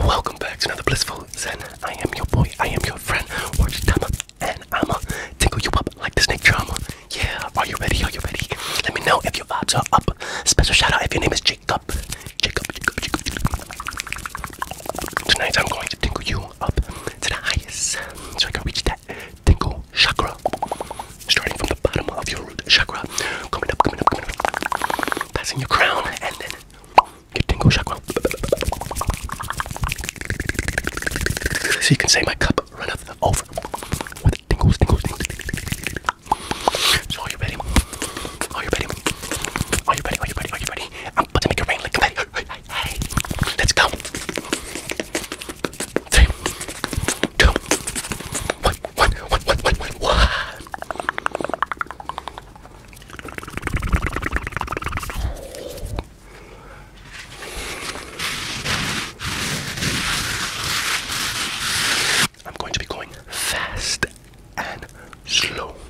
Welcome back to another blissful Zen. I am your boy, I am your friend, Orange Tama, and I'ma tickle you up like the snake charmer. Yeah, are you ready? Are you ready? Let me know if your vibes are up. Special shout out if your name is Jacob. Jacob, Jacob, Jacob. Jacob. Tonight I'm going to tingle you up to the highest so I can reach that tingle chakra. Starting from the bottom of your root chakra, coming up, coming up, coming up, passing your crown, and then your tingle chakra. So you can say my cup runneth over with tingles, tingles, tingles. So are you ready? Are you ready? Are you ready? Are you ready? Are you ready? I'm about to make it rain like confetti. Hey, hey, Let's go. Three, two, one, one, one, one, one, one, one. I'm going to be going fast and slow.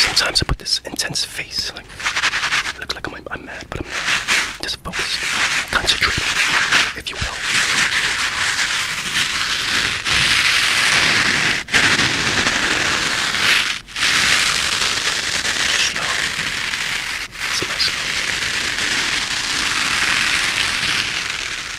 Sometimes I put this intense face, like I look like I'm, mad, but I'm not. Just focused, concentrate, if you will.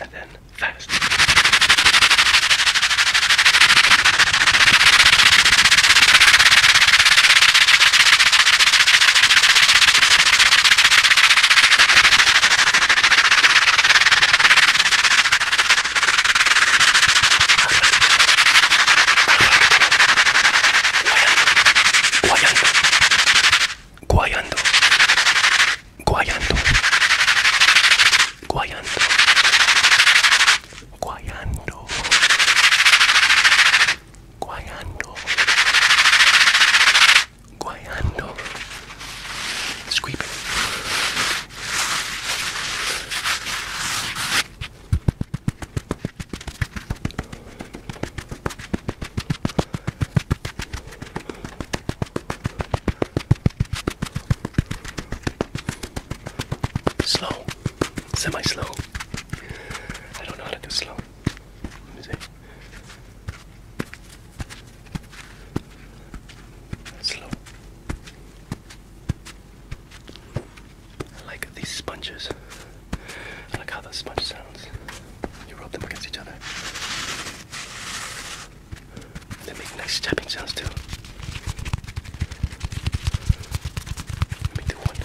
and then fast. guayando, guayando, guayando, guayando, guayando, guayando, guayando, Slow, semi slow. I don't know how to do slow. Let me see. slow. I like these sponges. Look how the sponge sounds. You rub them against each other. They make nice tapping sounds too. Let me do one here,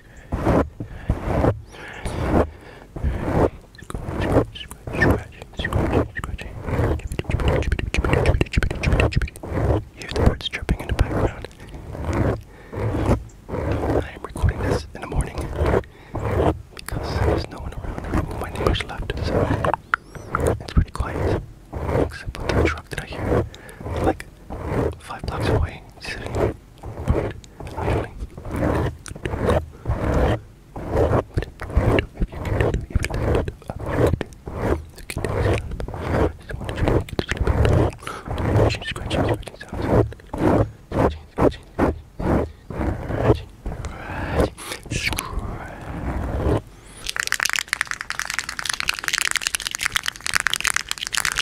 Scratch, Hear the birds chirping in the background. I am recording this in the morning because there's no one around. My neighbors left, so it's pretty quiet. Except for the truck that I hear, like five blocks away sitting, sitting, idling. If you can do even that, I The kid is She's scratching, scratching sounds. Scratching, scratching, scratching, scratching, scratching.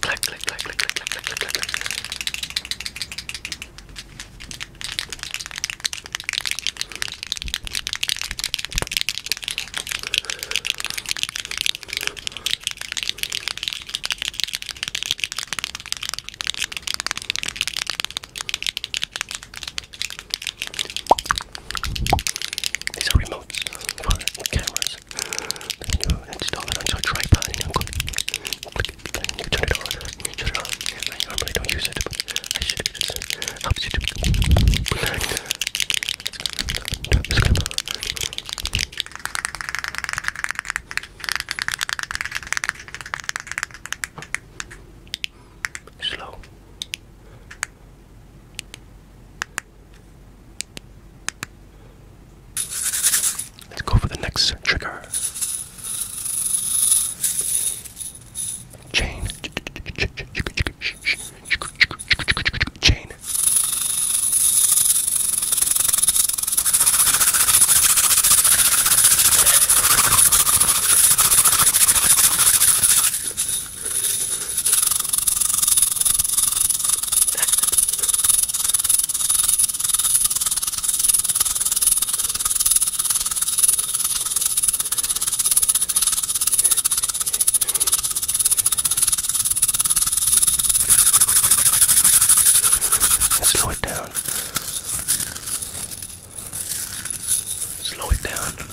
click, click, click, click, click, click, click, click, click, click. These are remotes for cameras this. You know, install it onto a tripod and you know, click it, and you turn it on. You turn it on. I normally don't use it, but I should use it. Helps you to relax. Turn this clip on. Slow. Let's go for the next trigger. Chain. Chain. Slow it down. Slow it down.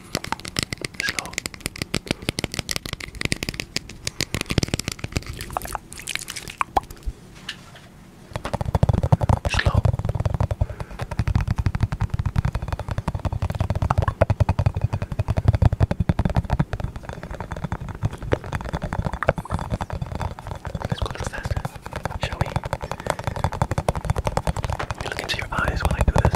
slow. Slow. Let's go a little faster, shall we? Let me look into your eyes while I do this.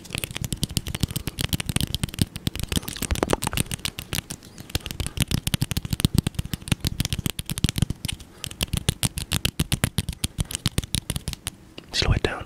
Slow it down.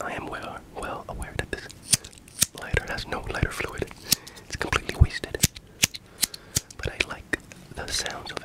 I am well, well aware that this lighter has no lighter fluid. It's completely wasted. But I like the sounds of it.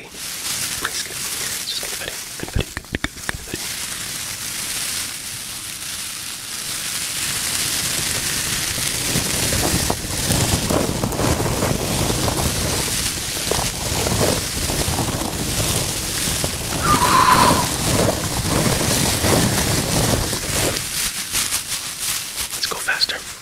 Hey, please good. Just good buddy. Good buddy. Good, good, good, good buddy. Let's go faster.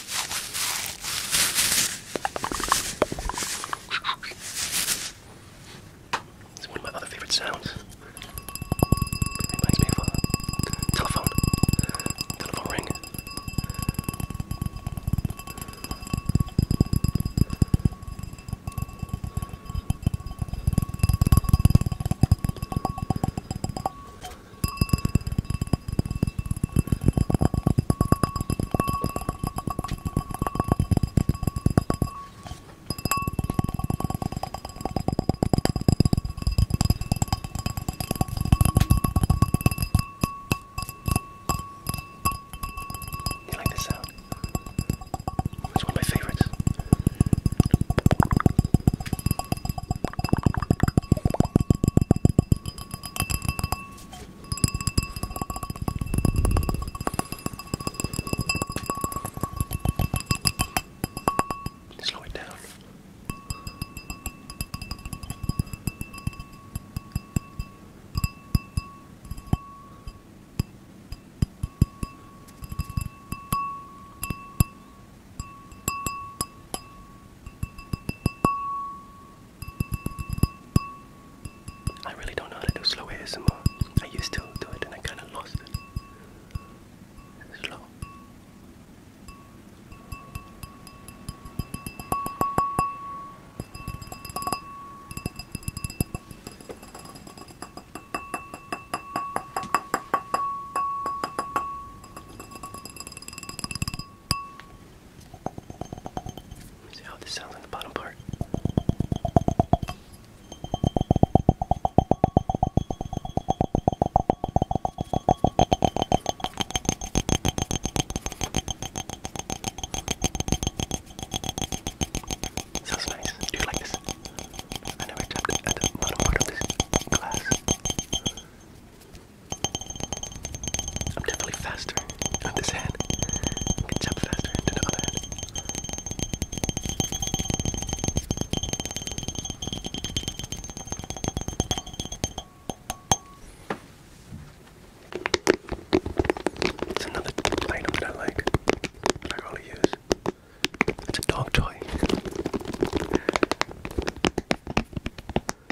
It's one of my other favorite sounds. It reminds me of a uh, telephone. Telephone ring. You like this sound? It's one of my favorites. Slow it down. I really don't know how to do slow ASMR. I used to do it and I kind of lost it. Slow. See how this sounds in the bottom part. Sounds nice. Do you like this? I never tapped at the bottom part of this glass. I'm definitely faster on this hand. I can jump faster into the other hand. It's another item that I like. That I rarely use. It's a dog toy.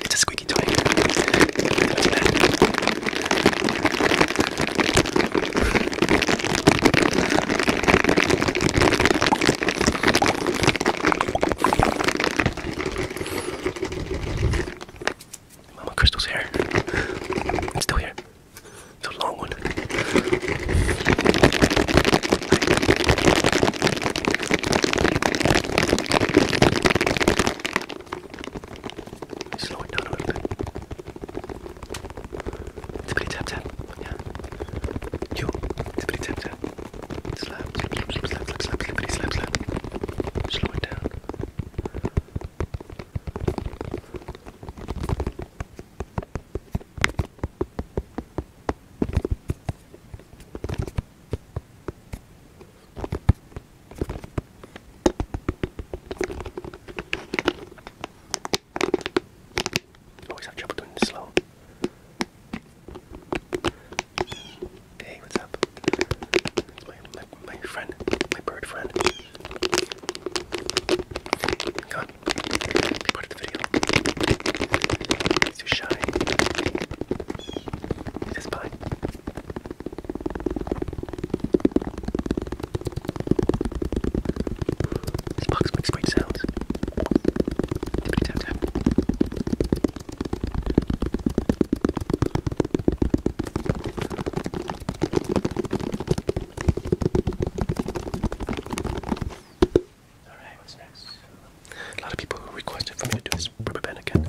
It's a squeaky toy. Mama Crystal's hair. It's still here. So long long one. Slow it down a little bit. Tippity tap tap. Yeah. You. Tippity tap tap. Slap, slap, slap, slap, slap, slap, slap, slippity, slap, slap. Slow it down. Always oh, have trouble doing this slow. Hey, what's up? my, my friend, my bird friend. Come on. Be part of the video. He's too shy. He's just fine. This box makes great sounds. Tippity tap tap. Alright, what's next? A lot of people requested for me to do this rubber band again.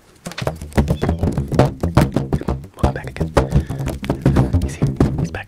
Welcome back again. He's here. He's back.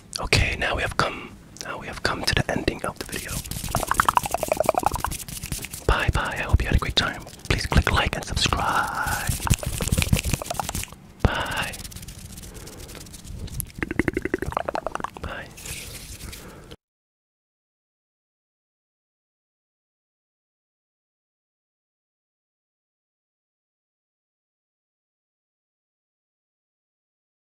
Okay, now we have come. Now we have come to the ending of the video. Bye bye. I hope you had a great time. Please click like and subscribe. Bye. Bye.